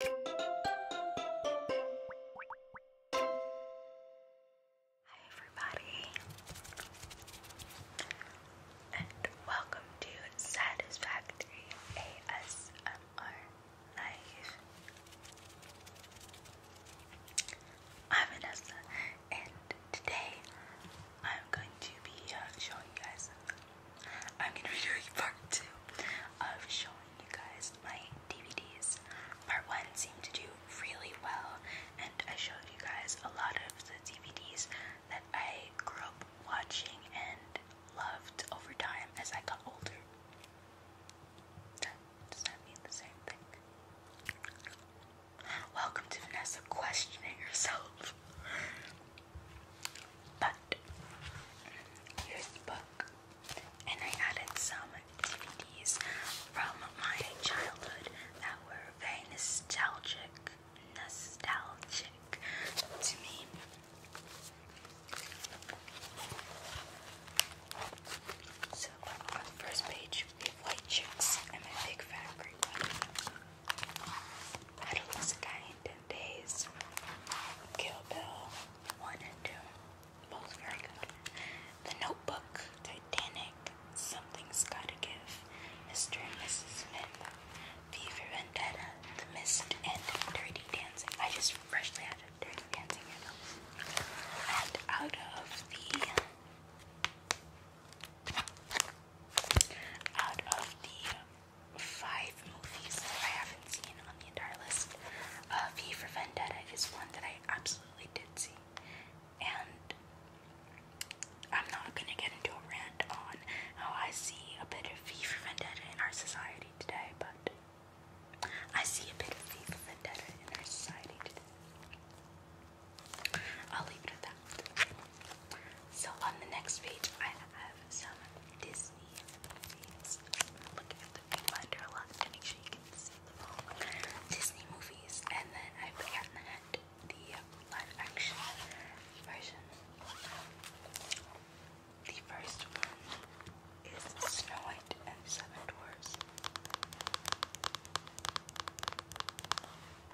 Hi everybody and welcome to Satisfactory ASMR Live. I'm Vanessa and today I'm going to be uh, showing you guys I'm gonna be doing part two of showing you guys my DVDs. Part one seemed to do really well, and I showed you guys a lot of the DVDs that I grew up watching and loved over time as I got older. Does that mean the same thing? Welcome to Vanessa questioning herself. But here's book, and I added some DVDs from my childhood that were very nostalgic, nostalgic to me. So on first page, we White Chicks and a big fat green one. How to Ten Days, Kill Bill 1 and 2, both very good. The Notebook, Titanic, Something's Gotta Give, Mr. and Mrs. Smith, Fever Vendetta, The Mist, and Dirty Dancing. I just freshly added Dirty Dancing And out of the out of the five movies that I haven't seen on the entire list. Uh, v for Vendetta is one that I absolutely did see, and I'm not gonna get into a rant on how I see a bit of V for Vendetta in our society today, but I see a bit of V for Vendetta in our society today. I'll leave it at that. So on the next page, I have some Disney movies. Look at the viewfinder a lot to make sure you can see Disney movies, and then I put on the head the live action version. The first one is Snow White and Seven Dwarfs.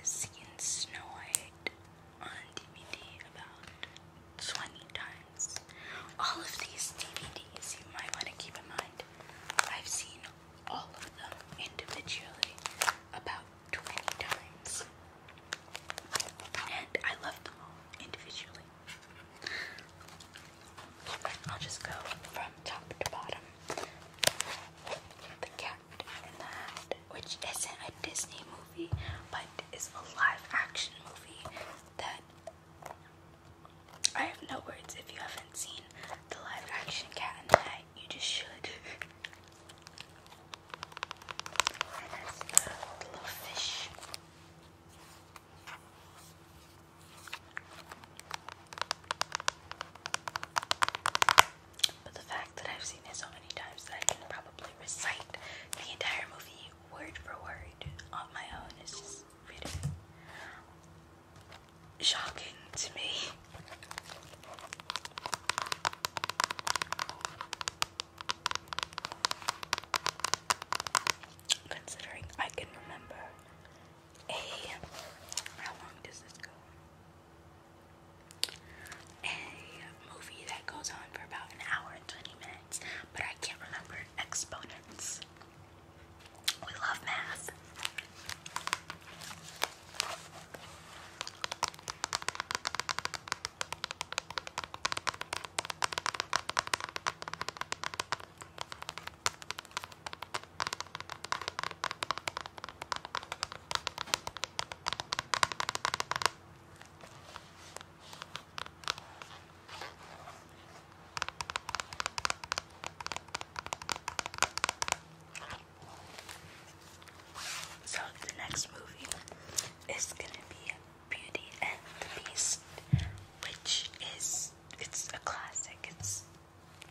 I've seen Snow White on DVD about 20 times. All of these DVDs you might want to keep in mind. I've seen all of them individually about 20 times. And I love them all individually. I'll just go from top to bottom. The Cat in the Hat, which isn't a Disney movie, but is a live action movie that I have no words. If you haven't seen the live action Cat in the Hat, you just should. that's the little fish. But the fact that I've seen it so many times that I can probably recite the entire movie word for word on my own. It's just really shocking to me. Considering I can remember a how long does this go? A movie that goes on for about an hour and 20 minutes, but I can't remember exponents. We love math. So the next movie is gonna be Beauty and the Beast, which is it's a classic. It's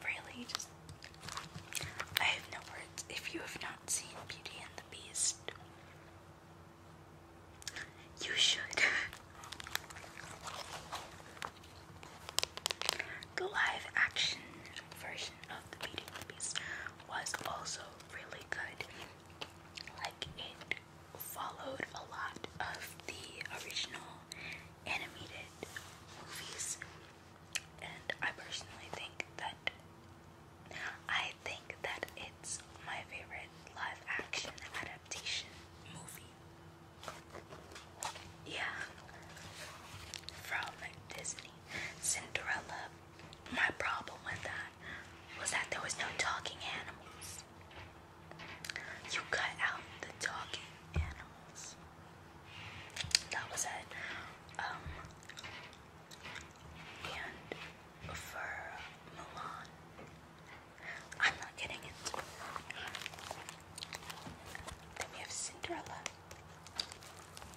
really just I have no words. If you have not seen Beauty and the Beast, you should. the live action version of the Beauty and the Beast was also really good. Like, it followed a lot of the original animated movies, and I personally think that I think that it's my favorite live action adaptation movie. Yeah. From Disney. Cinderella. My problem with that was that there was no talking animals. You cut out the talking animals. That was it. Um, and for Mulan. I'm not getting it. Then we have Cinderella,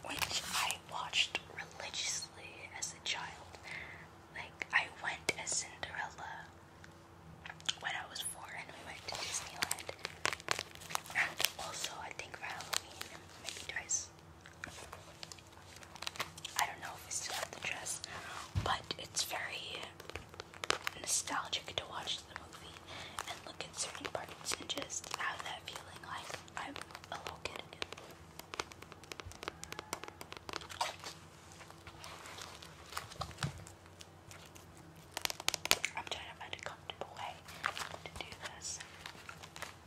which I watched religiously as a child. Like, I went as Cinderella when I was four and we went to Disneyland. And also, I think for Halloween, maybe twice. I don't know if we still have the dress, but it's very nostalgic to watch the movie and look at certain parts and just have that feeling like I'm a little kid I'm trying to find a comfortable way to do this.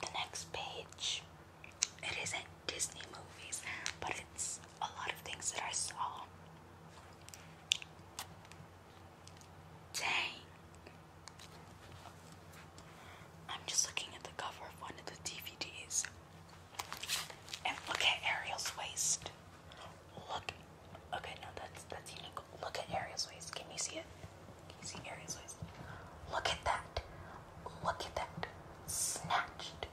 The next page, it isn't Disney movies, but it's a lot of things that I saw. Dang. I'm just looking at the cover of one of the DVDs. And look at Ariel's waist. Look Okay, no, that's that's unique. Look at Ariel's waist. Can you see it? Can you see Ariel's waist? Look at that. Look at that. Snatched.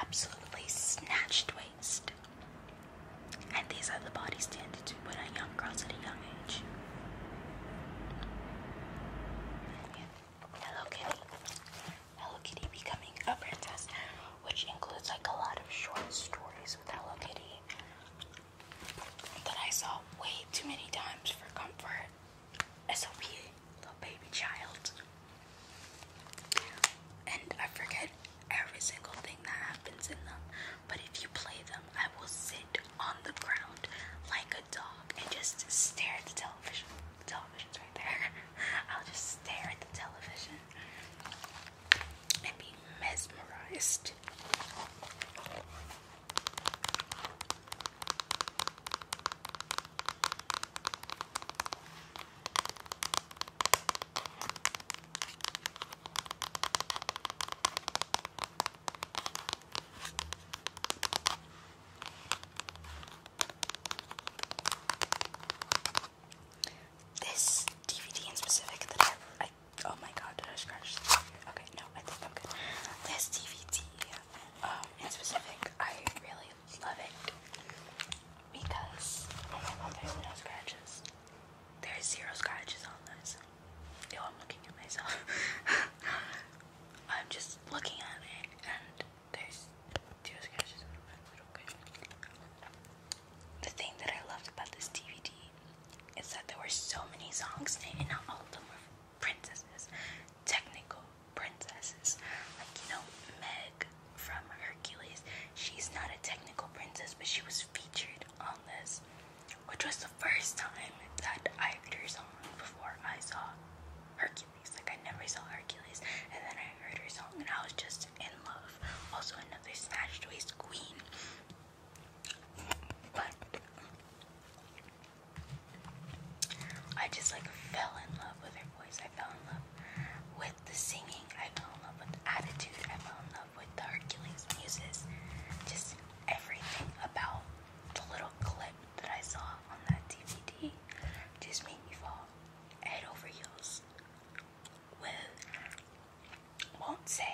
Absolutely snatched waist. And these are the body standards put on young girls at a young age. Hello Kitty. Hello Kitty becoming a princess, which includes like a lot of short stories with Hello Kitty that I saw way too many times for comfort as little baby child. And I forget every single thing that happens in them, but if you play them, I will sit on the ground like a dog and just stare at the television. television's right there. I'll just stare at the television and be mesmerized. This DVD in specific that I, oh my god, did I scratch this? Okay, no, I think I'm good. This DVD, um, in specific, I really love it because, oh there's no scratches. There's zero scratches on this. Yo, I'm looking at myself. I'm just looking at it, and there's zero scratches on it. Okay the thing that I loved about this DVD is that there were so many songs in it, and not all of them were princesses, technical princesses. Like, you know, Meg from Hercules, she's not a technical princess, but she was featured on this, which was the first time that I heard her song before I saw Hercules. Like, I never saw Hercules, and then I heard her song, and I was just in Love, also another Snatched Race Queen. But I just like fell in love with her voice. I fell in love with the singing. I fell in love with attitude. I fell in love with Hercules muses. Just everything about the little clip that I saw on that DVD just made me fall head over heels with won't say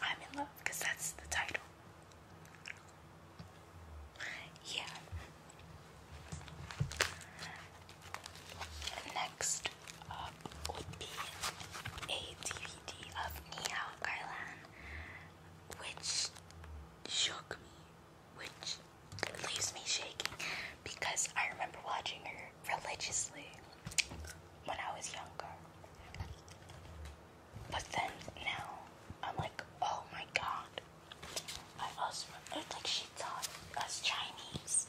I'm in love that's the title. Yeah. Next up would be a DVD of Nihao Kailan, which shook me, which leaves me shaking because I remember watching her religiously when I was younger. But then now I'm like, oh my god. I also it's like she taught us Chinese.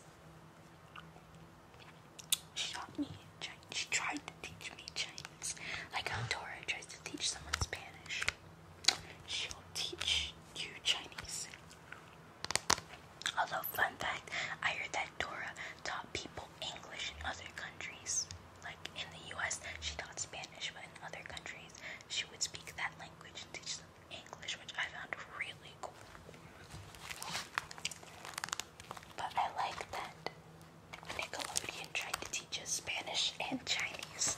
She taught me Chinese. She tried to teach me Chinese. Like how Dora tries to teach someone Spanish. She'll teach you Chinese. Although, fun fact, I heard that Dora taught people English in other countries. Like in the US, she taught Spanish, but in other countries, she would speak that language and teach them English, which I found really cool. But I like that Nickelodeon tried to teach us Spanish and Chinese.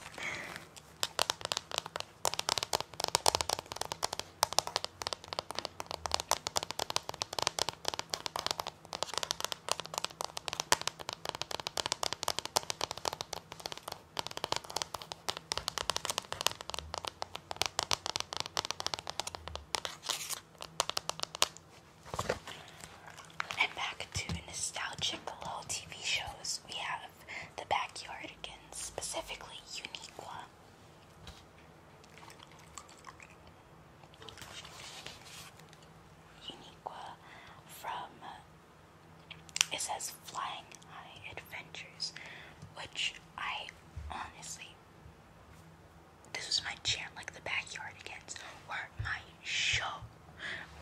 And back to nostalgic old TV shows, we have the backyard again, specifically Uniqua. Uniqua from it says Flying High Adventures, which I honestly this was my chair, like the backyard Backyardigans where my show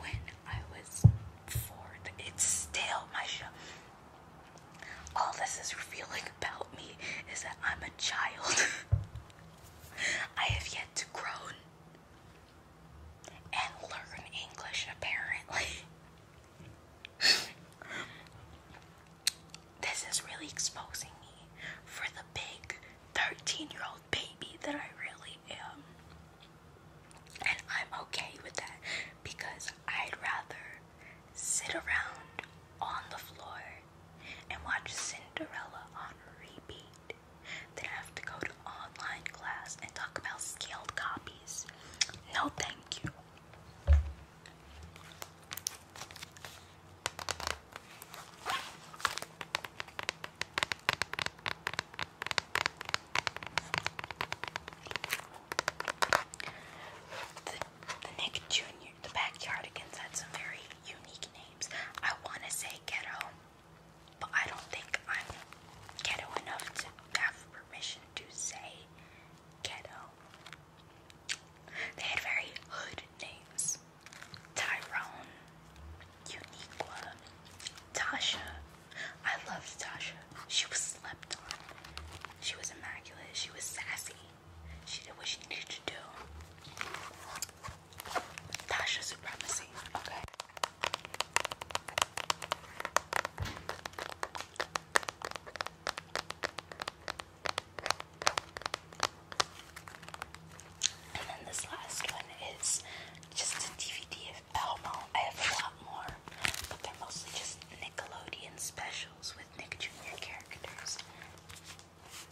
when I was four. It's still my show. All this is revealing about me is that I'm a child. I have yet to grow and learn English, apparently. this is really exposing me for the big 13 year old baby that I really am. And I'm okay with that because I'd rather sit around on the floor and watch Cinderella on repeat than have to go to online class and talk about scaled copies. No, thank you. The, Nick Jr., the Backyardigans had some very unique names. I want to say ghetto, but I don't think I'm ghetto enough to have permission to say ghetto. They had very hood names Tyrone, Uniqua, Tasha. I loved Tasha. She was slept on. She was immaculate. She was sassy. She did what she needed to do. Tasha Supremacy. Okay. And then this last one is just a DVD Elmo. I have a lot more, but they're mostly just Nickelodeon specials with Nick Jr. characters.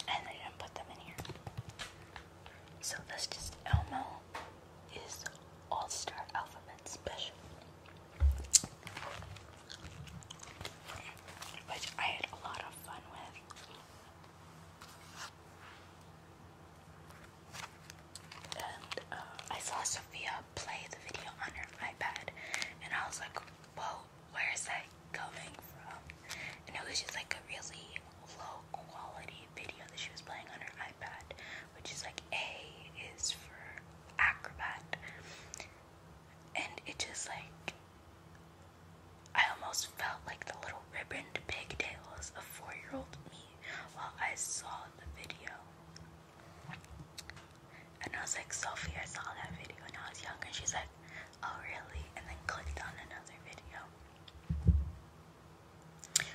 And I didn't put them in here. So this just Elmo is All-Star Alphabet Special. Which I had a lot of fun with and uh, I saw Sophia play the video on her iPad, and I was like, whoa, where is that coming from? And it was just like a really low quality video that she was playing on her iPad, which is like A is for Acrobat, and it just like I almost felt like the little ribboned pigtails of four year old me while I saw the video. And I was like, Sophie, I saw that video when I was young. And she's like, oh, really? And then clicked on another video.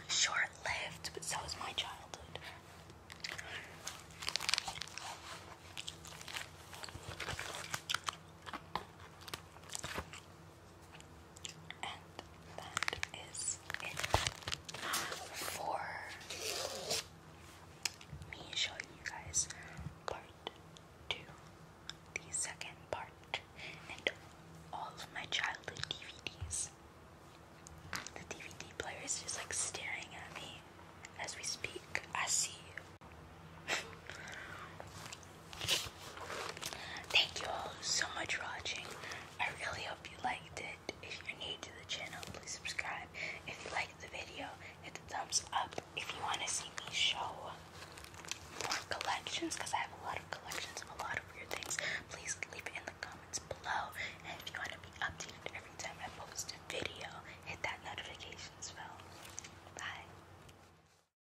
Short lived, but so was my childhood. And that is it for me showing you guys part two, the second part, and all of my childhood DVDs. The DVD player is just like staring at me as we speak. I see Thank you all so much for watching. I really hope you liked it. If you're new to the channel, please subscribe. If you liked the video, hit the thumbs up. If you want to see me show more collections, because I have a lot of collections of a lot of weird things, please leave it in the comments below. And if you want to be updated every time I post a video, hit that notifications bell. Bye.